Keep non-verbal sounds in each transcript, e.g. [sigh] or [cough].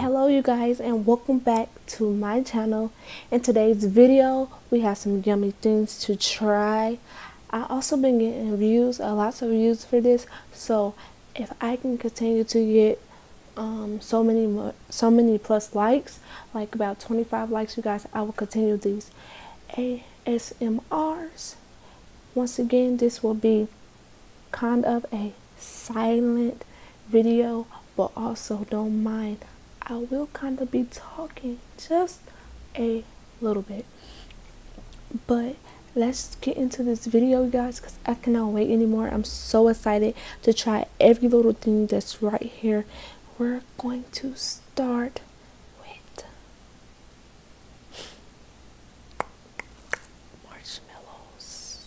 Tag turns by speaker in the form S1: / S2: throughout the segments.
S1: hello you guys and welcome back to my channel in today's video, we have some yummy things to try. I also been getting views, a lots of views for this. So if I can continue to get um, so many so many plus likes, like about 25 likes, you guys, I will continue these ASMRs. Once again, this will be kind of a silent video, but also don't mind I will kind of be talking just a little bit. But let's get into this video, guys, because I cannot wait anymore. I'm so excited to try every little thing that's right here. We're going to start with
S2: marshmallows.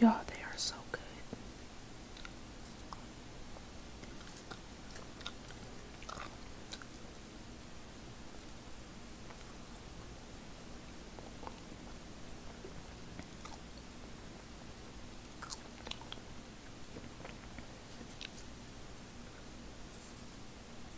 S2: you they are so good.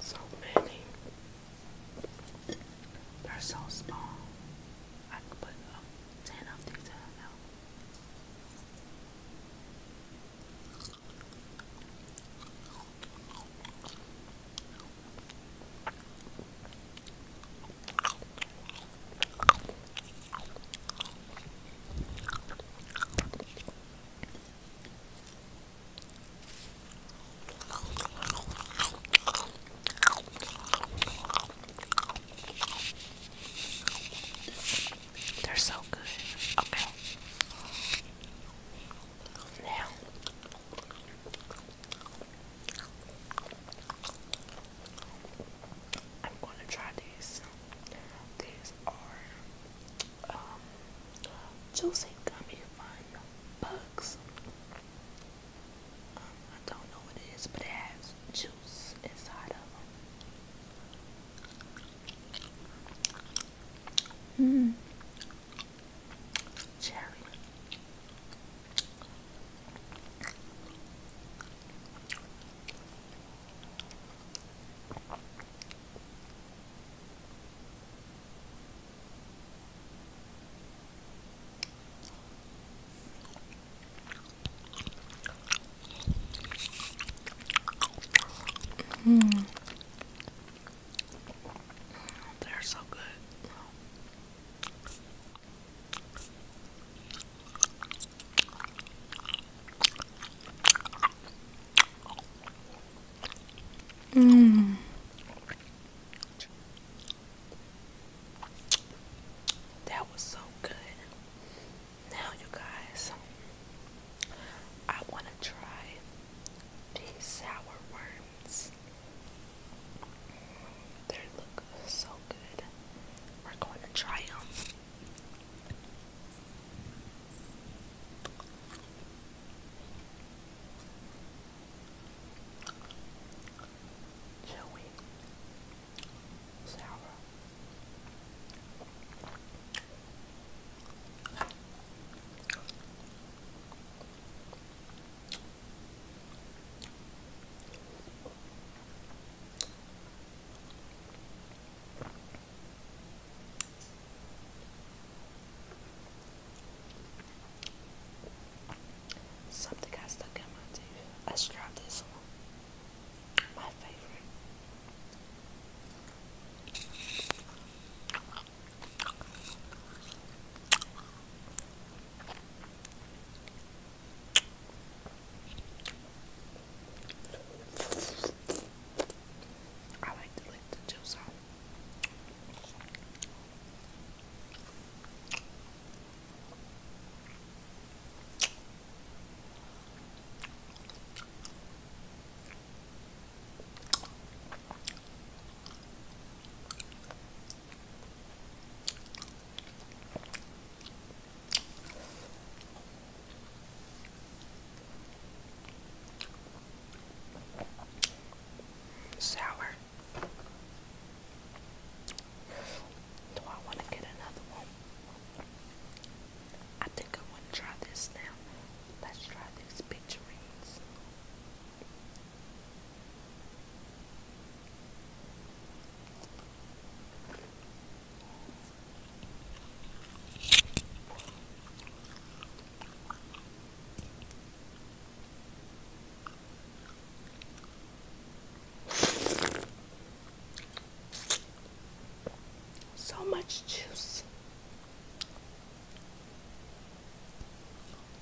S2: So many. They're so small. I could put um, 10 of these in now. They're so good. Okay. Now I'm gonna try these. These are um, juicy gummy bugs. Um, I don't know what it is, but it has juice inside of them. Mm. Cherry.
S1: Mm. They're so good.
S2: Mm. That was so good. Now, you guys, I want to try these sour worms. They look so good. We're going to try them. Chewy, sour. Something got stuck in my teeth. Let's try this one. My favorite. I like to lick the juice off. Sour. Do I want to get another one? I think I want to try this now. Let's try these picturines. So much juice.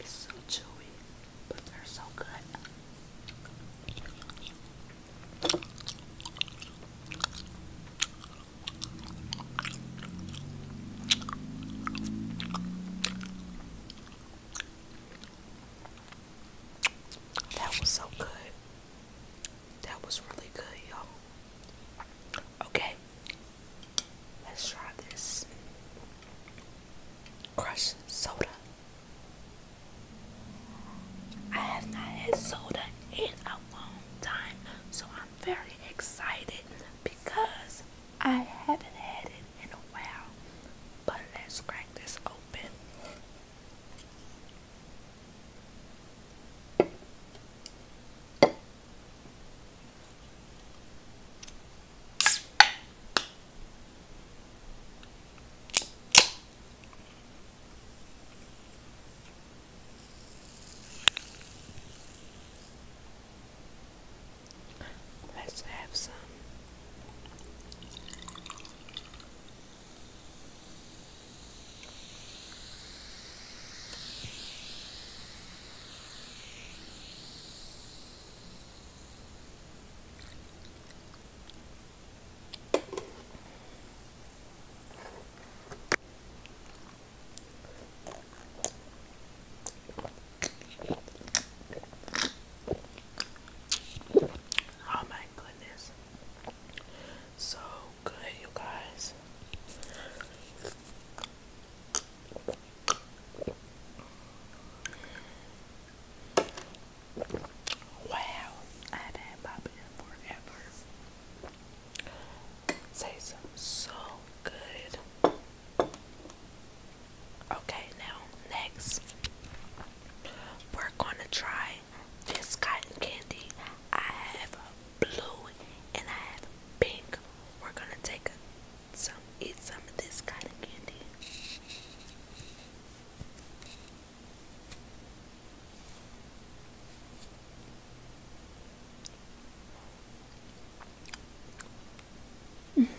S2: It's so chewy, but they're so good. That was so good. That was really good, y'all. Okay, Let's try this crushed soda. I have not had soda in a long time, so I'm very excited because I haven't had it in a while. But let's crack this open. Let's have some. Oh my goodness. So good, you guys. Wow, I have had pop forever. Tastes so good. Okay, now next, we're gonna try this cotton candy. I have blue and I have pink. We're gonna take a so eat some of this kind of candy. [laughs]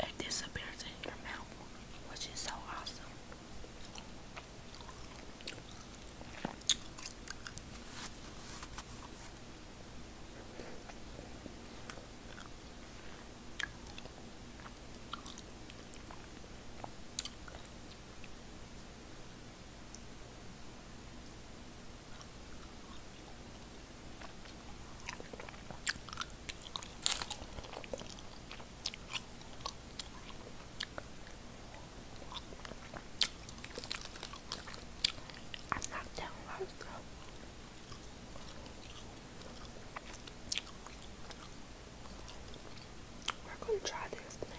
S2: It, disappears in your mouth, which is so awesome. I'm not down We're gonna try this now.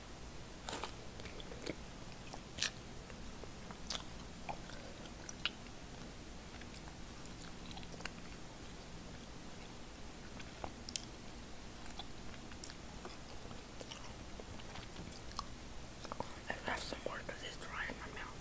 S2: I left some more it's dry in my mouth.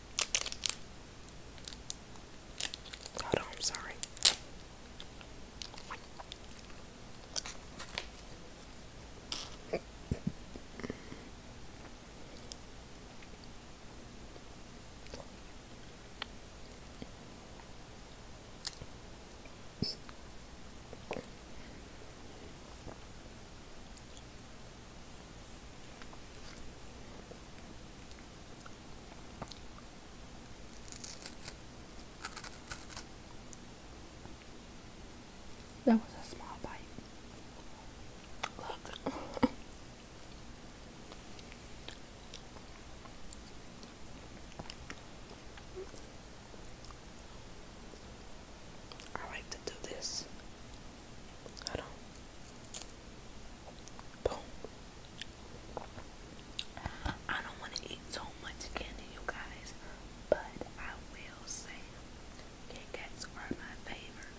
S2: Hold I'm sorry. That was a small bite. Look. I like to do this Hold on. Boom. I don't want to eat so much candy, you guys, but I will say Kit Kats are my favorite.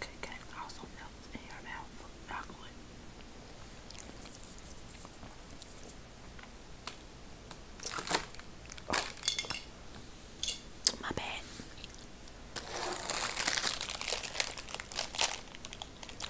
S2: Good cake also melts in your mouth with chocolate. Oh. My bad. You guys,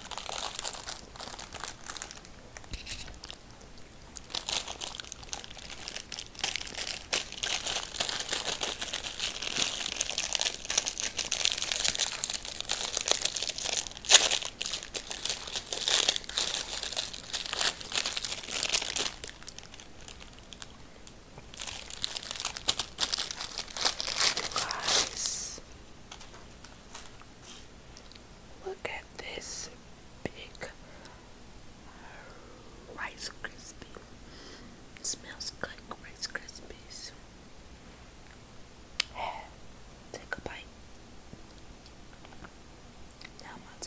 S2: Look at this big Rice Krispie. Smells like Rice Krispies. [sighs] Take a bite. Now my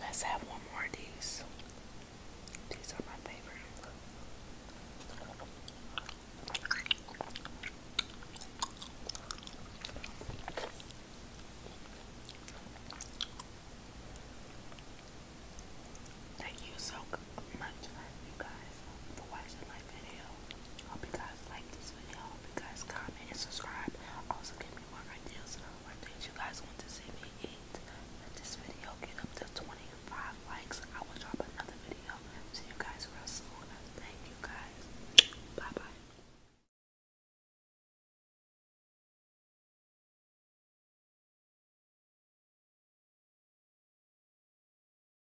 S2: Let's have one more of these. These are my favorite. Thank you so much, you guys for watching my video. hope you guys like this video. I you guys comment and subscribe. Also give me more ideas or things you guys want to see me eat. Let this video get up to 25 likes. I will drop another video. See you guys real soon. Thank you guys. Bye bye.